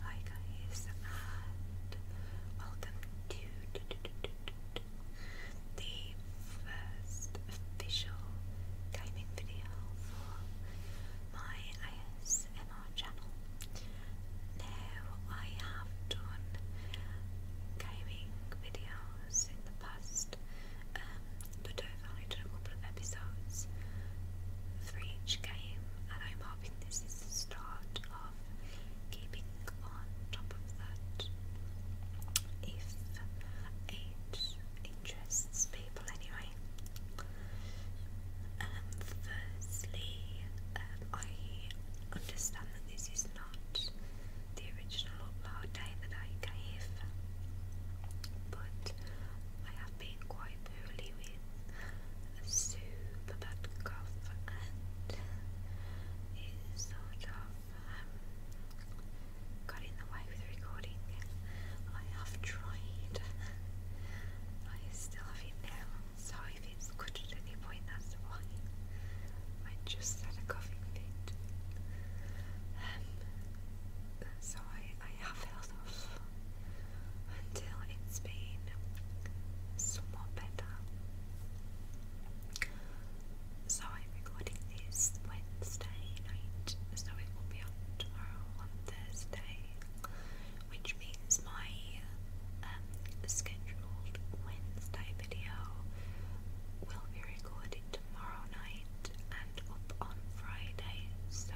Hi guys, welcome to the first official gaming video for my ASMR channel. Now, I have done gaming videos in the past, um, but I've only done a couple of episodes for each game, and I'm hoping this is the start of keeping on top of that. If it interests people, anyway. Um, firstly, um, I understand that this is not the original upload day that I gave, but I been quite poorly with super bad cough and it sort of um, got in the way with recording. I have tried. I still have it now, so if it's good at any point, that's why. I just had a coughing fit. Um, so I, I have held off until it's been somewhat better. So I'm recording this Wednesday night, so it will be on tomorrow on Thursday, which means my um, scheduled Wednesday video will be recorded tomorrow night and up on Friday so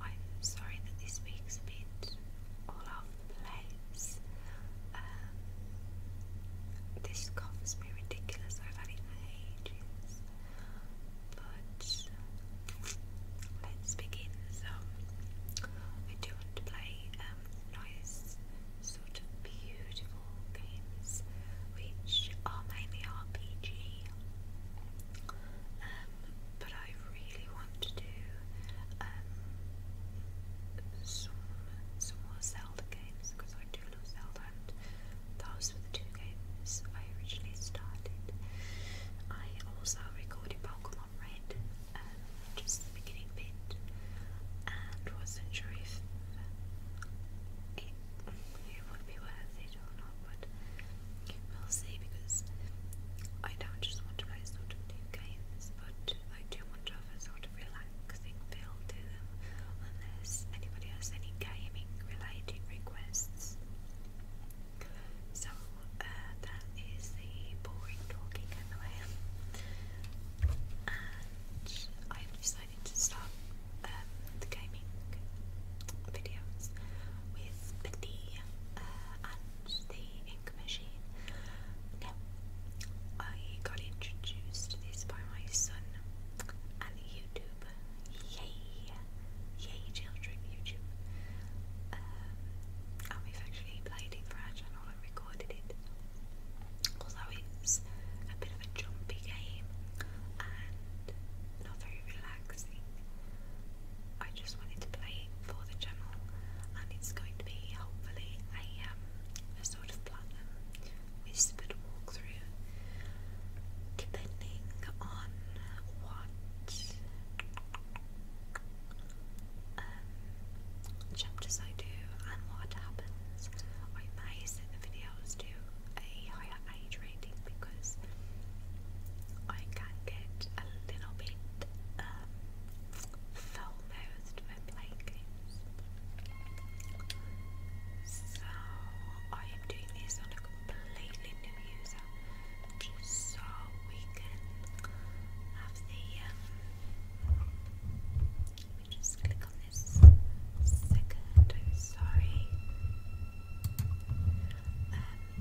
I'm sorry that this week's a bit all over the place. Um, this cough has been ridiculous, I've had it for ages. But let's begin. So, I do want to play um, nice, sort of beautiful games which are mainly RPG. Um, um, but I really want to do um, some some more Zelda games because I do love Zelda, and those were the two games I originally started. I also recorded Pokemon Red, um, just the beginning bit, and wasn't sure if it, would be worth but we'll see because I don't just want to play sort of new games, but I do want to have a sort of relaxing feel to them unless anybody has any gaming related requests. So uh, that is the boring talking in And I've decided to start um, the game filming videos with the uh, ink machine. I got introduced this by my son and YouTube. Yay! Yay, children, YouTube. Um, and we've actually played it for our channel and recorded it. Although it's a bit of a jumpy game and not very relaxing, I just wanted to play for the channel, and it's going to be hopefully a um, a sort of platinum whispered walkthrough, depending on what um, chapters I do and what happens. I may set the videos to a higher age because I can get a little bit um, when playing games. So I am doing this on a completely new user just so we can have the um, let me just click on this second, I'm sorry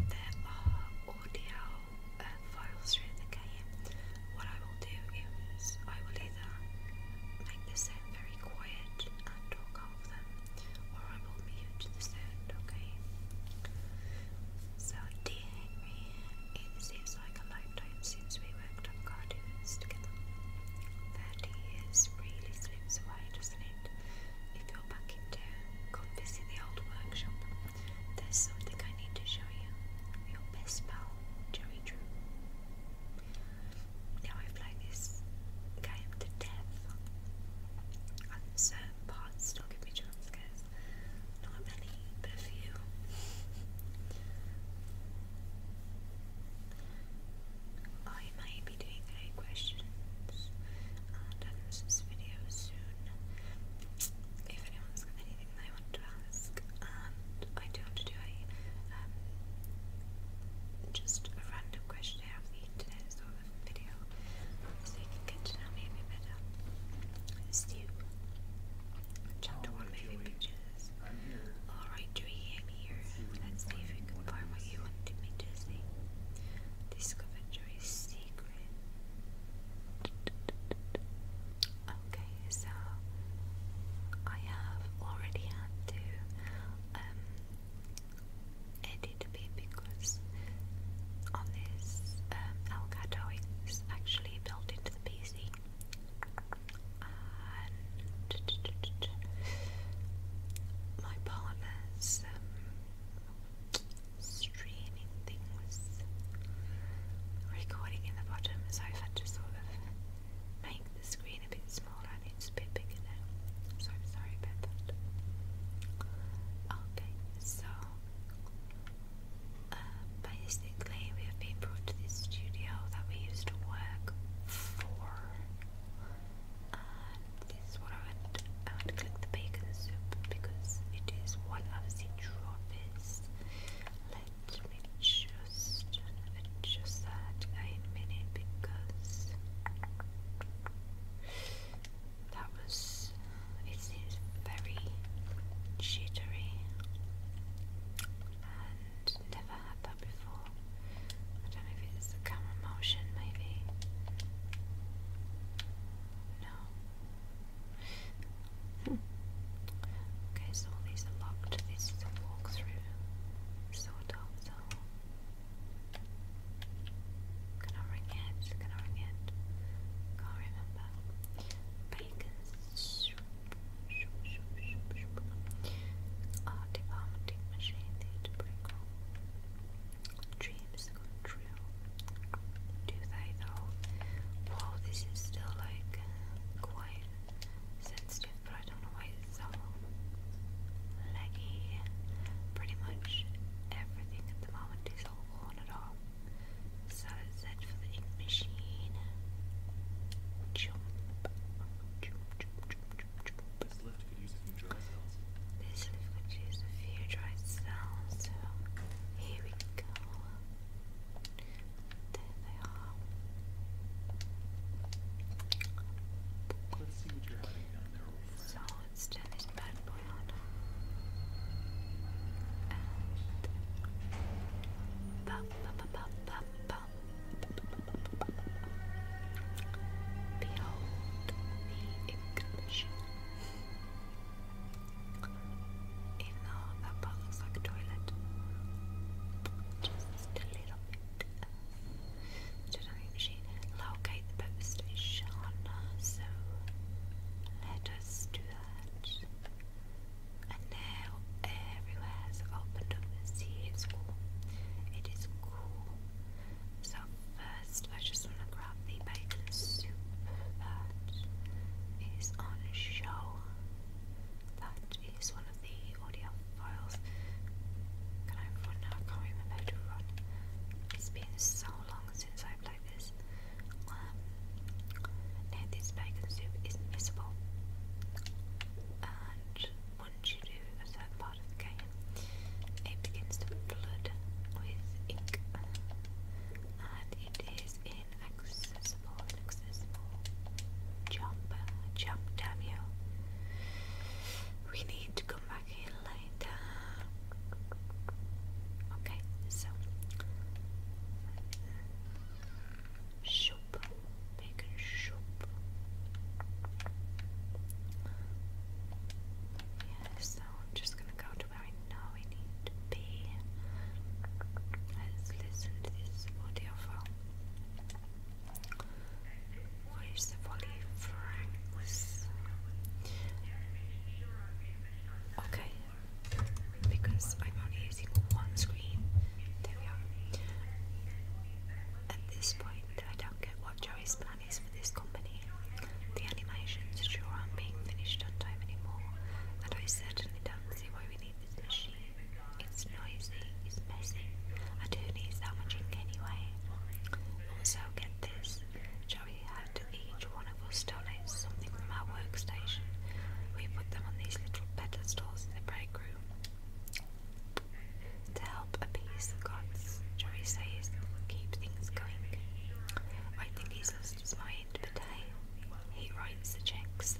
there are audio uh, files through the game. What I will do is I will either make the sound very quiet and talk over them, or I will mute the sound, okay? So, dear Henry, it seems like a lifetime since we worked on cardigans together. Thirty years really slips away, doesn't it? If you're back in town, come visit the old workshop. There's something I need to show you. Your best pal, Jerry Drew. Now I play this game to death. And certain parts still me jump scares. Not many, but a few. I made to be doing a questions and video soon. If anyone's anything they want to ask, I do want to do a um, just a random questionnaire of the internet sort of video, so you can get to know me a bit better. Stu, chapter one movie pictures. Alright, Dream here. Let's see if we can find what you wanted me to see. Discover a secret. Okay, so I have already had to um, edit a bit because on this um, Elgato it's actually built into the PC. And my partner's um, streaming thing recording in the bottom, so I've had to sort of make the screen a bit smaller it's a bit bigger now. So sorry about that. Okay, so uh, basically, we have been brought to this studio that we used to work for, this is what click the bacon soup because it is one of the trophies. Let me just adjust that in a minute because that was it very jittery and never had that before. I don't know if it's camera motion, maybe. No. Hmm. okay, so these are locked. This is a walkthrough, sort of, so. Can I ring it? Can I ring it? Can't remember. Bacon soup. Shoop, shoop, shoop, shoop. Our department dreams come true. Do thy thou? Wow, this is still like quite sensitive, but I don't know why it's Pretty much everything at the moment is all on off. So is that for the ink machine? Jump, jump, jump, jump, jump, jump. This leaf a few dry cells, so here we go. There they are. Let's see what you're hiding down there. So let's turn this bad boy on. And pop, pop, pop, pop, Behold the ignition. Even that part looks like a toilet, just a little bit. Tonight machine. Locate the purpose station. So let us do that. And now everywhere has opened up. See, it's cool. It is cool. So first, I just want to grab the bacon soup that is on show. That is one of the audio files. Can I run now? I can't remember how to run. It's been so long since I played this. now um, this bacon soup is missable, and once you do a certain part of the game, it begins to flood with ink, and it is inaccessible, inaccessible. Jump, jump, damn We need to come back here later. Okay, so shop, bacon shop. Yeah, so I'm just gonna go to where I know I need to be. Let's listen to this audio from what is the volley franks? Okay, because I'm only using one screen. There we are. At this point, I don't get what Joey's playing is for this company. The animations sure aren't being finished on time anymore, and I certainly don't see why we need this machine. It's noisy, it's messy, and who needs that much ink anyway? Also, get this, Joey had each one of us donate something from our workstation. We put them on these little pedestals in the break room. To help appease the gods, Jerry says, keep things going. I think he's lost his mind, but hey, he writes the checks.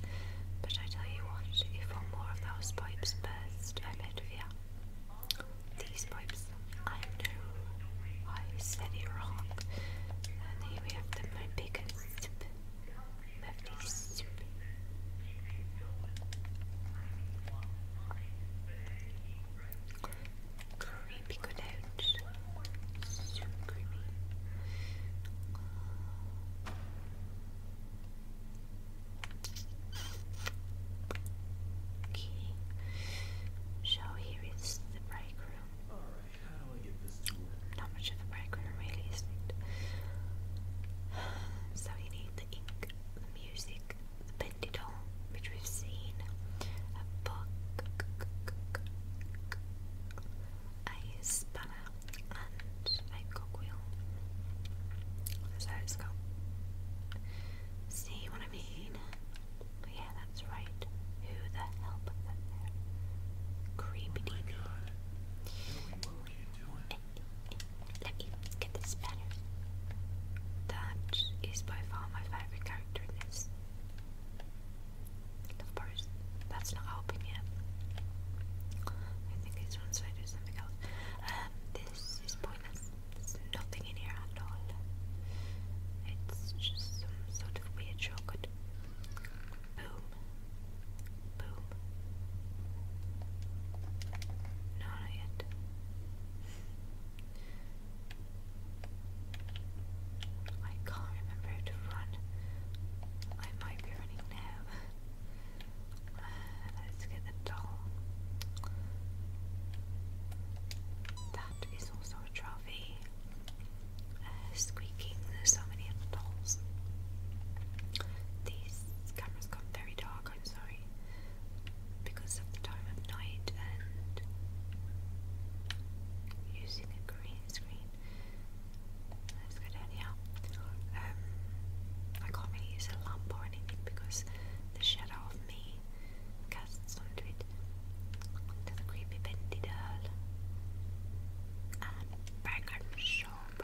But I tell you what, if one more of those pipes burst, I'm out of here. These pipes, I know, I said it wrong. And here we have the Moonbeaker soup. Lovely soup. Creamy pickled Okay. So here is the break room. Not much of a break room really, is it? So you need the ink, the music, Pendidon, which we've seen, a book, a spanner, and a cogwheel. So it's got. See what I mean? Yeah, that's right. Who the hell Creepy. Oh let me get this better. That is by far my favorite character in this. Of course, that's not helping yet. I think it's one side or something else. Um, this is pointless. There's nothing in here at all. It's just some sort of weird shortcut. Boom. Boom. not yet. I can't remember to run. I might be running now. Uh, let's get the doll. That is also a trophy. Uh, squeaking, there's so many other dolls. These cameras got very dark, I'm sorry because of the time of night and using a green screen. Let's go down here. Um, I can't really use a lamp or anything because the shadow of me casts onto it. There's creepy bendy doll. And bacon shop.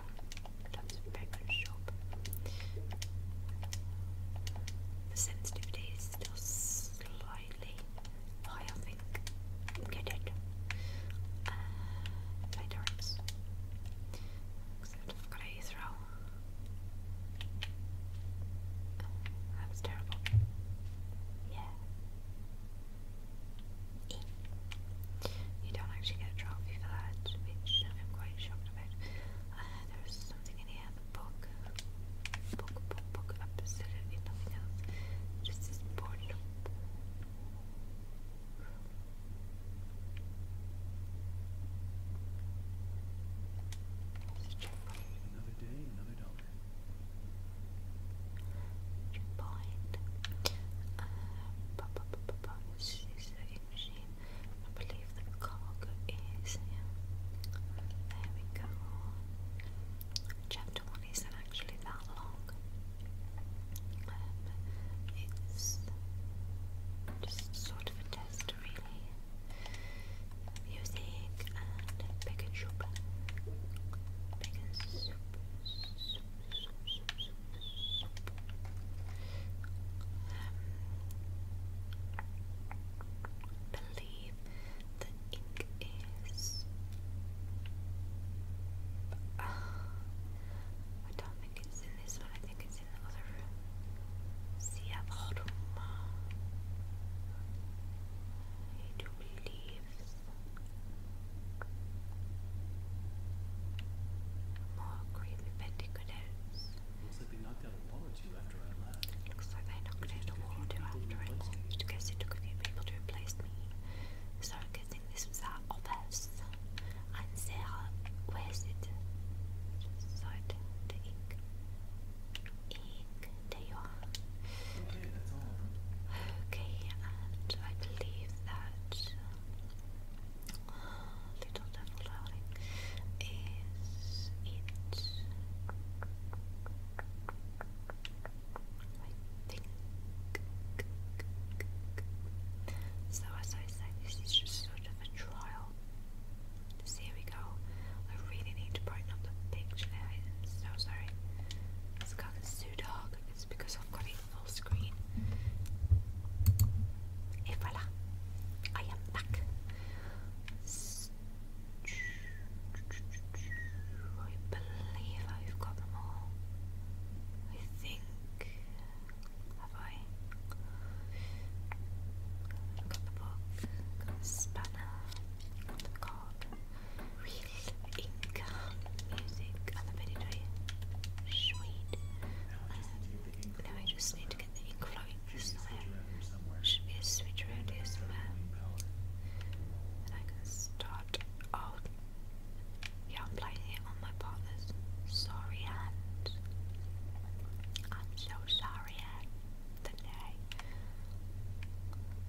That's The sensitivity is still slightly high, think. Get it? Uh, I've got a throw. That was terrible. Yeah. E. You don't actually get a trophy for that, which I'm quite shocked about. Uh, there's something in here, the book. Book, book, book, absolutely nothing else. Just this board up. Another day, another dollar. Checkpoint. Uh, pa, pa, pa, pa, This is the machine. I believe the cog is There we go. Chapter one isn't actually that long. Um, it's just sort of a test, really. Music and pick soup. Pick soup, um, believe the ink is. I don't think it's in this one. I think it's in the other room. See a bottom. It relieves more creepy petticoats. I looks like they knocked out a wall or two after I left because it took a few people to replace me. So I'm this was our office. And there, where's it? So the ink. Ink, there you are. Okay, and I believe that little devil howling is it I think so as I say, this is just sort of a trial here we go I really need to brighten up the picture I'm sorry it's got a it's because I've got it full screen Et voilà, I am back. I believe I've got them all. I think. Have I? got the book, spanner, the card, real ink, music, and the video. Sweet. Now I just need to get the ink flowing just there. Should be a switch around here somewhere. And I can start out. Oh. Yeah, I'm playing it on my partner's sorry hand. I'm so sorry, Anne, the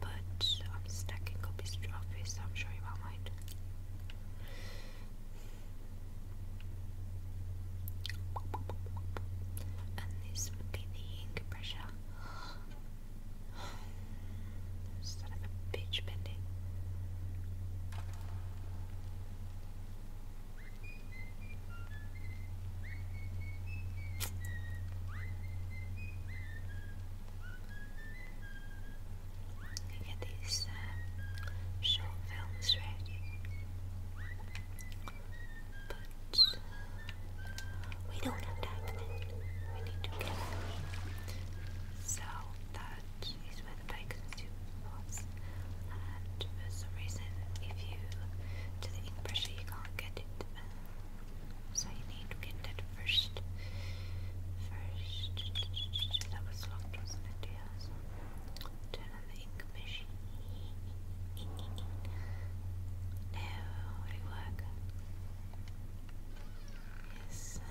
But I'm stacking up his trophies, so I'm sure you won't mind. And this would pressure. Son a bitch bending get these uh, short films ready. But uh, we don't have time then. We need to get So that is where the bacon soup was. And for some reason, if you do the ink pressure, you can't get it. Uh, so you need to get first. First, that was locked, wasn't it? ink machine. No, oh, it'll Yes.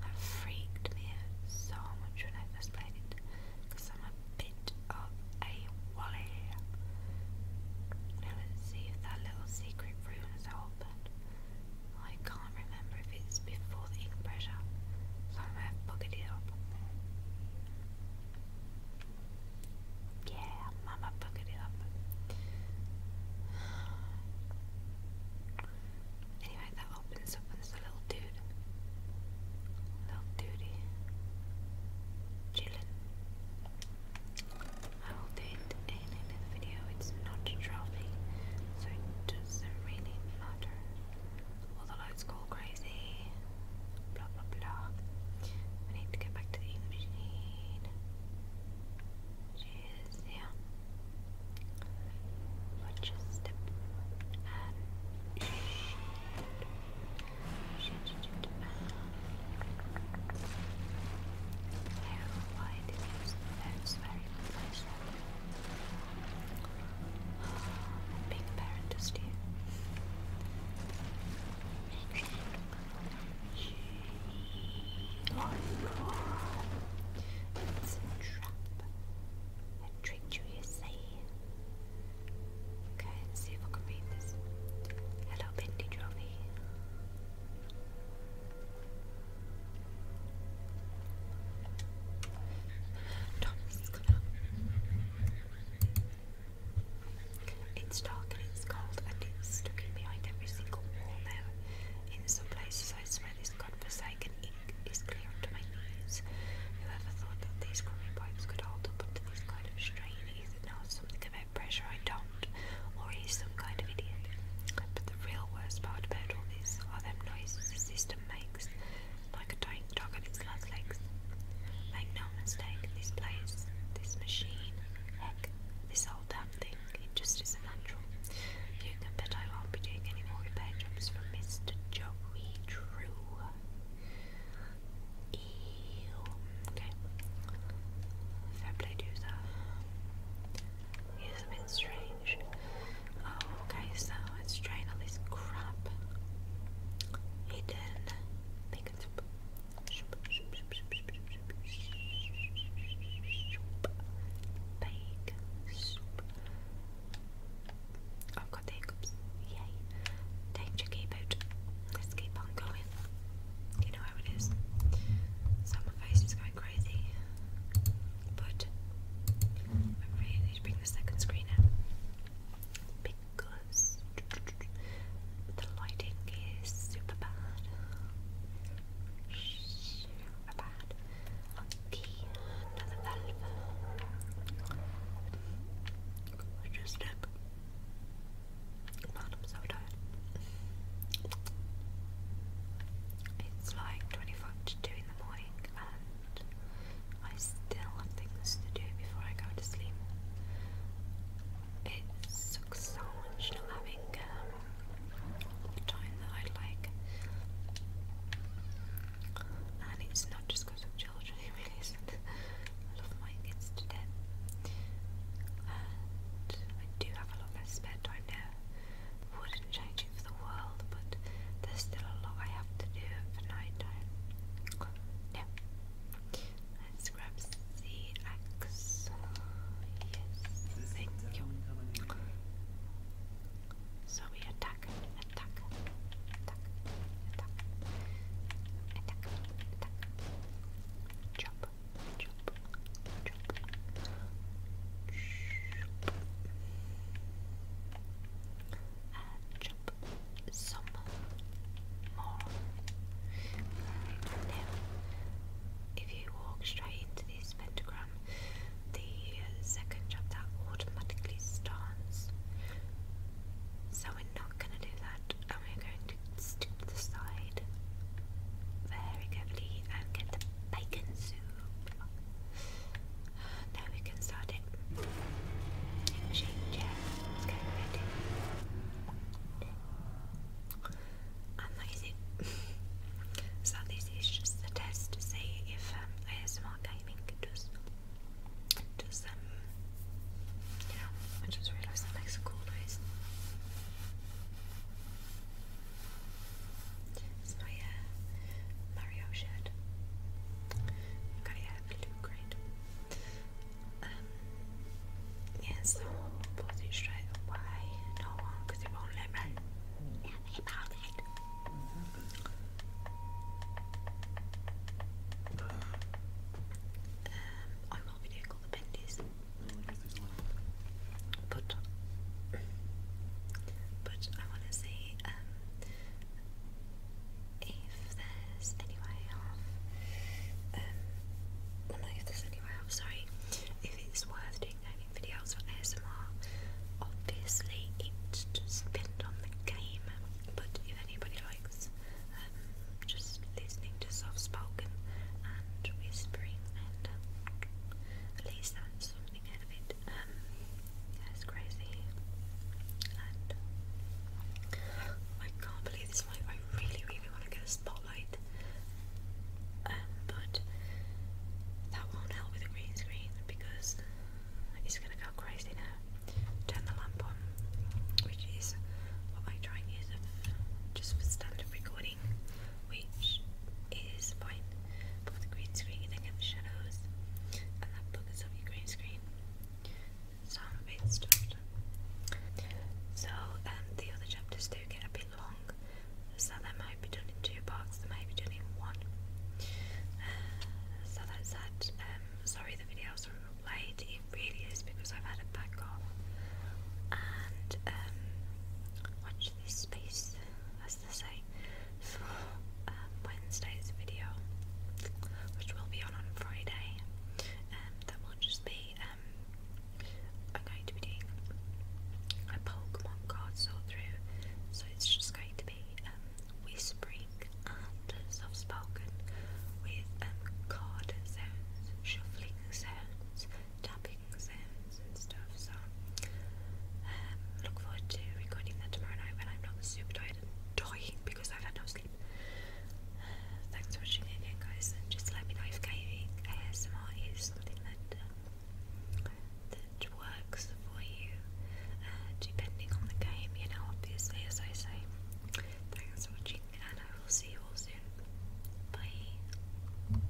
that freaked me so much when I first played it because I'm a bit of a wally. Now let's see if that little secret room is open. I can't remember if it's before the ink pressure, so I it up. Yeah, Mama buggered it up. Anyway, that opens up and there's little dude. Little duty. Chillin. I will do it in another video. It's not a so it doesn't really all the lights go crazy. Blah blah blah. We need to get back to the English need. Cheers, yeah. Watch a being a parent is due. Oh, no. It's a trap. I tricked you, you say. Okay, let's see if I can read this. Hello, Bendy Trophy. It's dark and it's cold, and it's looking behind every single wall now. In some places, I swear this godforsaken ink is clear up to my knees. Who ever thought that these crumbling pipes could hold up under this kind of strain either knows something about pressure I don't, or he's some kind of idiot. But the real worst part about all this are them noises the system makes, like a dog and its last legs. Make no mistake, this place, this machine, heck, this whole damn thing, it just isn't natural. You can bet I won't be doing any more repair jobs from Mr. Joey Drew. Ew. Okay. Fair play to it's a bit strange. Oh, okay, so let's try all this crap. Hidden. Pick it up. have got the hiccups. Yay. Time keep out. Let's keep on going. You know how it is. So face is going crazy. But I'm ready to bring the second screen out because the lighting is super bad. Super bad. Okay, another valve. just step. Man, I'm so tired. It's like 24 to 2 in the morning and I still have things to do before I go to sleep. It sucks so much not having um, the time that I'd like. And it's not just of children, it really isn't. I love my kids to death. And I do have a lot less spare time now wouldn't change it for the world, but there's still a lot I have to do for night time. Yeah. Let's grab CX. Yes, thank you. So we attack, attack, attack, attack, attack, attack. jump, jump, and if you walk straight into this pentagram, the second chop automatically starts. So we're not going to do that, and we're going to stick to the side very carefully and get the bacon soup. Now we can start it. Shake chair. ready. Amazing. so this is just a test to see if um, gaming does, does um, you know, I just realised that makes a cool noise. It's my uh, Mario shirt. got a blue grade. Um, put it straight away. No one, it won't let me. Yeah, about it. Um, I will video called the Bendies. But, but I want to see um, if there's any way um, if there's any way sorry, if it's worth doing gaming videos for ASMR. Obviously, it just depends on the game, but if anybody likes um, just listening to soft spoken and whispering, and um, at something out um, crazy. I can't believe this I really, really want to get a spotlight. Um, but that won't help with a green screen because it's gonna go crazy now. Turn the lamp on, which is what I try and use just for standard recording which is fine. But green screen, you do get the shadows, and that buggers off your green screen. So i a bit stuffed. So um, the other chapters do get a bit long, so they might be done in two parts, they might be done in one. Uh, so that. Um, sorry the videos are it really is because I've had a back off and um, watch this space to say for um, Wednesday's video, which will be on on Friday. Um, that will just be um, I'm going to be doing a Pokemon card sort through, so it's just going to be whispering and soft spoken with card sounds, shuffling sounds, tapping cooking and stuff. So um, look forward to recording that tomorrow night when I'm not super tired and dying because I've had no sleep. Uh, thanks for watching again, guys, and just let me know if gaming ASMR is something that uh, that works for you, uh, depending on the game. You know, obviously, as I say. Thanks for watching, and I will see you all soon. Bye.